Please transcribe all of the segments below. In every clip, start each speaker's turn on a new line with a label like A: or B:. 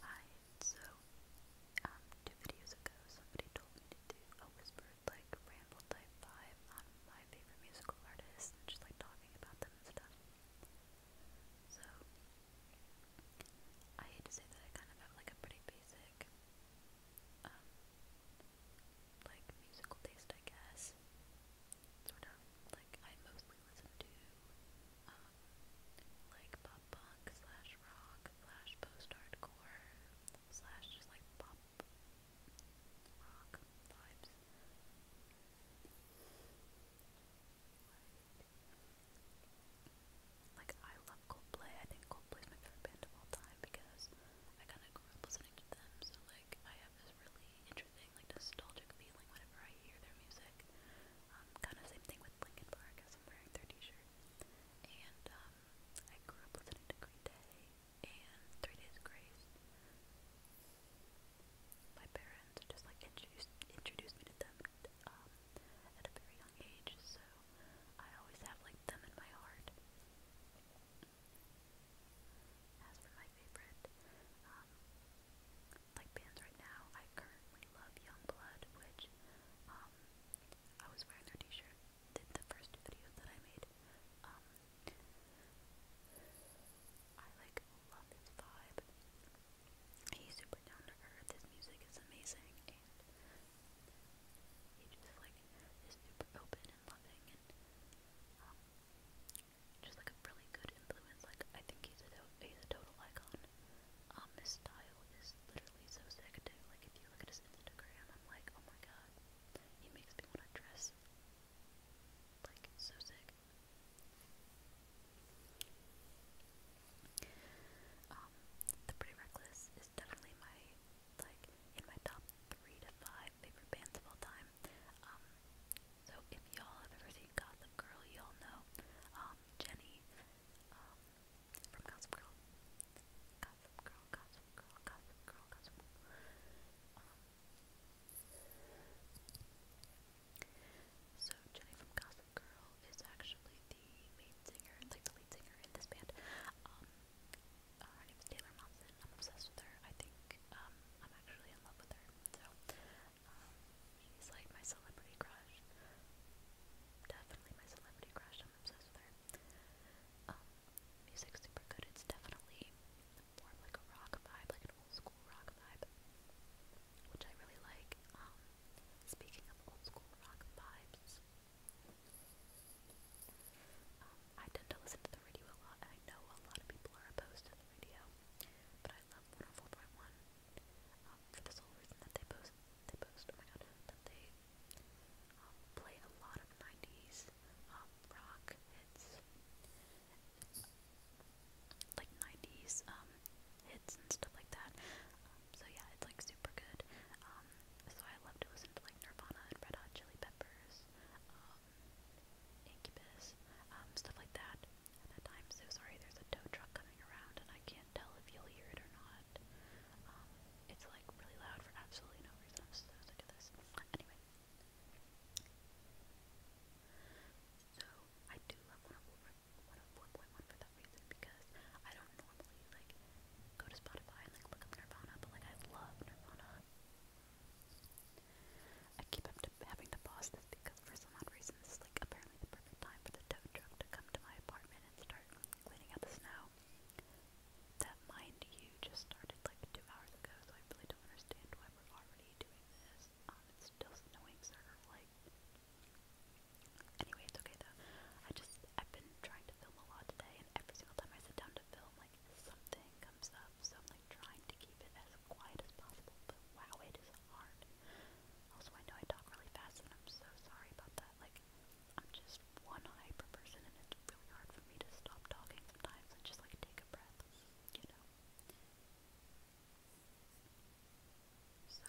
A: Hi, so, um, two videos ago somebody told me to do a whispered, like, ramble type vibe on my favorite musical artists just, like, talking about them and stuff. So, I hate to say that I kind of have, like, a pretty basic, um, like, musical taste, I guess sort of like I mostly listen to um, like pop punk slash rock slash post hardcore slash just like pop rock vibes. Like I love Coldplay. I think Coldplay's my favorite band of all time because I kind of grew up listening to them. So like I have this really interesting like nostalgic feeling whenever I hear their music. Um, kind of same thing with Linkin Park I'm wearing their t-shirt. And um, I grew up listening to Green Day and Three Days Grace. My parents just like introduced introduced me to them um, at a very young age, so I always have like them in my heart. As for my favorite, like bands right now. I currently love Youngblood, which um, I was wearing their T-shirt the, the first two that I made. Um, I like love his vibe. He's super down to earth. His music is amazing, and he just like is super open and loving um, just like a really good influence. Like I think he's a total icon. Um, his style is literally so sick Like if you look at his Instagram, I'm like, oh my god, he makes me want to dress. Like so sick. Um, the Pretty Reckless is definitely my like in my top three to five favorite bands of all time. Um, so if y'all have ever seen Gossip Girl, y'all know um, Jenny um, from Gossip Girl. Gossip Girl, Gossip Girl, Gossip Girl, Gossip Girl. Um, so Jenny from Gossip Girl is actually the main singer, like the lead singer in this band. Um, uh, her name is Taylor Momsen. I'm obsessed with her. I think um, I'm actually in love with her. So she's like my celebrity crush. Definitely my celebrity crush. I'm obsessed with her. Um, super good. It's definitely more like a rock vibe, like an old school rock vibe, which I really like. Um, speaking of old school rock vibes, um, I tend to listen to the radio a lot, I know a lot of people are opposed to the radio, but I love 104.1. Um, they post, they post, oh my god, they um, play a lot of um, rock hits, like hits and stuff like that, so yeah, it's like super good, so I love to listen to like Nirvana and Red Hot Chili Peppers, Incubus, stuff like that, I'm so sorry there's a tow truck coming around and I can't tell if you'll hear it or not. Um, it's like really loud for absolutely no reason. I'm so sick this. Anyway. So I do love one of one of 4.1 for that reason because I don't normally like go to Spotify and like look up Nirvana, but like I love Nirvana. I keep having to pause this because for some odd reason this is like apparently the perfect time for the tow truck to come to my apartment and start cleaning out the snow. That mind you just started like two hours ago, so I really don't understand why we're already doing this. Um, it's still snowing, sort like. Anyway, it's okay though. I just I've been trying to film a lot today, and every single time I sit down to film, like something comes up. So I'm like trying to keep it as quiet as possible, but wow, it is hard. Also, I know I talk really fast, and I'm so sorry about that. Like, I'm just one hyper person, and it's really hard for me to stop talking sometimes and just like take a breath, you know. So,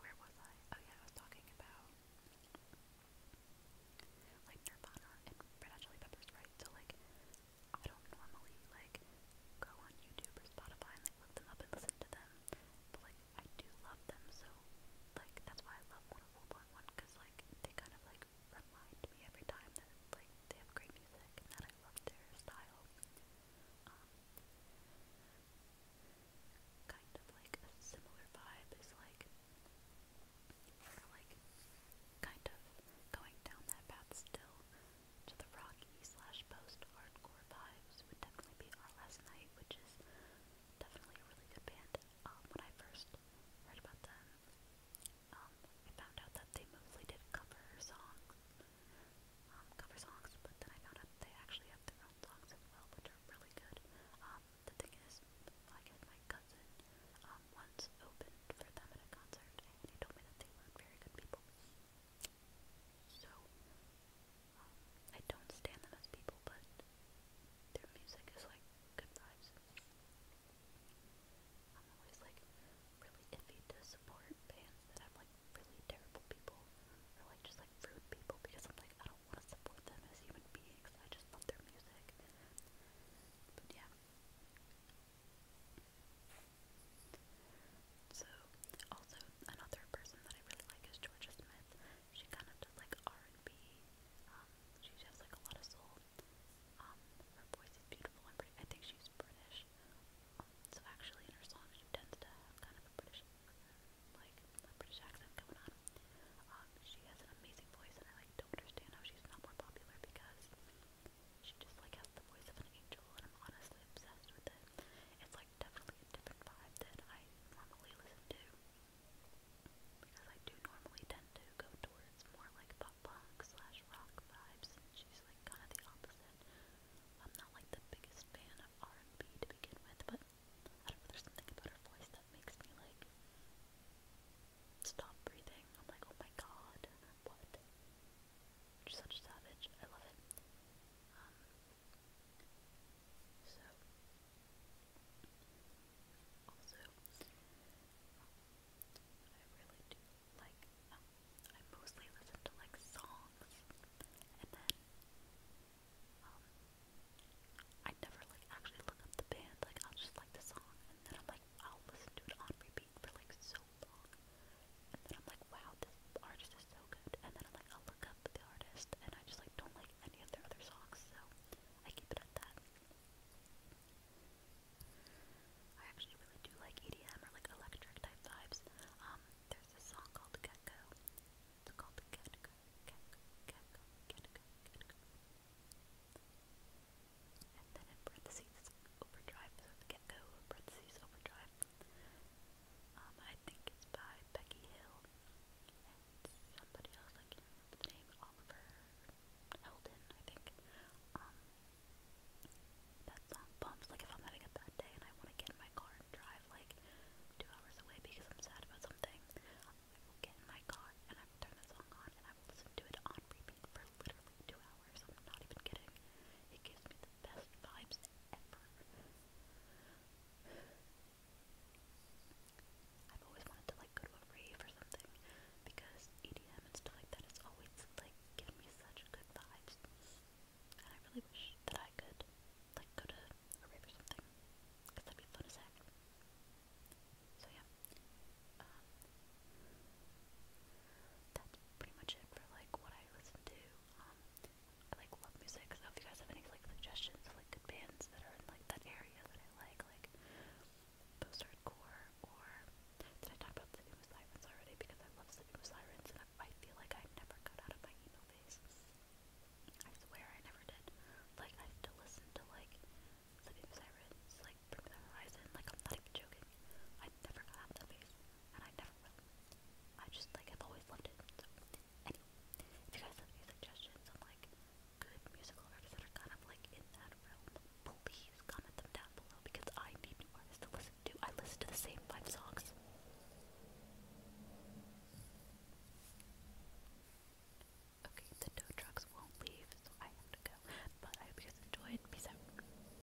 A: where was I? Oh yeah, I was talking about like Nirvana and Red Hot Chili Peppers, right? So like, I don't normally like go on YouTube or Spotify and look them up and listen to them, but like I do love them, so like that's why I love 104.1 because like they kind of like remind me every time that like they have great music and that I love their style. Um, kind of like a similar vibe is like kind of going down that path still to the rocky slash post-hardcore vibes would definitely be Our Last Night, which is definitely a really good band. Um, when I first heard about them, um, I found out that they mostly did cover songs, um, cover songs, but then I found out they actually have their own songs as well, which are really good. the thing is, like my cousin, once opened for them at a concert, and he told me that they were very good people. So, um, I don't stand them as people, but their music is like good vibes. I'm always like really iffy to support bands that have like really terrible people or like just like rude people because I'm like I don't want to support them as human beings. I just love their music. yeah. So, also, another person that I really like is Georgia Smith. She kind of does like R&B, um, she has like a lot of soul. Um, her voice is beautiful and pretty, I think she's British. Um, so actually in her song she tends to have kind of a British, like, a British accent going on. Um, she has an amazing voice and I like don't understand how she's not more popular because she just like has the voice of an angel, and I'm honestly obsessed with it. It's like definitely a different vibe than I normally listen to, because I do normally tend to go towards more like pop slash rock vibes, she's like kind of the opposite. I'm not like the biggest fan of R&B to begin with, but I don't know, there's something about her voice that makes me like stop breathing. I'm like, oh my god, what? You're such a savage. I love it. Um, so, also, I really do like, um, I mostly listen to like songs, and then, um, I never like actually look up the band, like I'll just like the song, and then I'm like, I'll listen to it on repeat for like so long. And then I'm like, wow, this artist is so good. And then I'm like, i look up the artist, and I just like don't like any of their other songs, so I keep it at that. I actually really do like EDM or like electric type vibes. Um, there's this song called Gecko. It's called Gecko, Gecko, Gecko, Gecko, Gecko. And then in parentheses, it's overdrive. So it's Gecko, parentheses, overdrive. Um, I think it's by Becky Hill and somebody else, I the name, Oliver Heldon, I think. Um, that song bumps, like if I'm having a bad day and I want to get in my car and drive like two hours away because I'm sad about something, I will get in my car and I will turn the song on and I will listen to it on repeat for for literally two hours. I'm not even kidding. It gives me the best vibes ever. I've always wanted to like go to a rave or something because EDM and stuff like that always like given me such good vibes. And I really wish that I could like go to a rave or something because that'd be fun as heck. So yeah. Um, that's pretty much it for like what I listen to. Um, I like love music, so if you guys have any like suggestions like bands that are in like that area that I like, like post hardcore or did I talk about Sleeping with Sirens already? Because I love Sleeping with Sirens and I, feel like I never got out of my emo phase. I swear I never did. Like I still listen to like Sleeping with Sirens, like Bring the Horizon. Like I'm not even joking. I never got out of that phase and I never will. I just, like, I've always loved it, anyway, if you guys have any suggestions on, like, good musical artists that are kind of, like, in that realm, please comment them down below, because I need new artists to listen to. I listen to the same five songs. Okay, the tow trucks won't leave, so I have to go, but I hope you guys enjoyed. Peace out.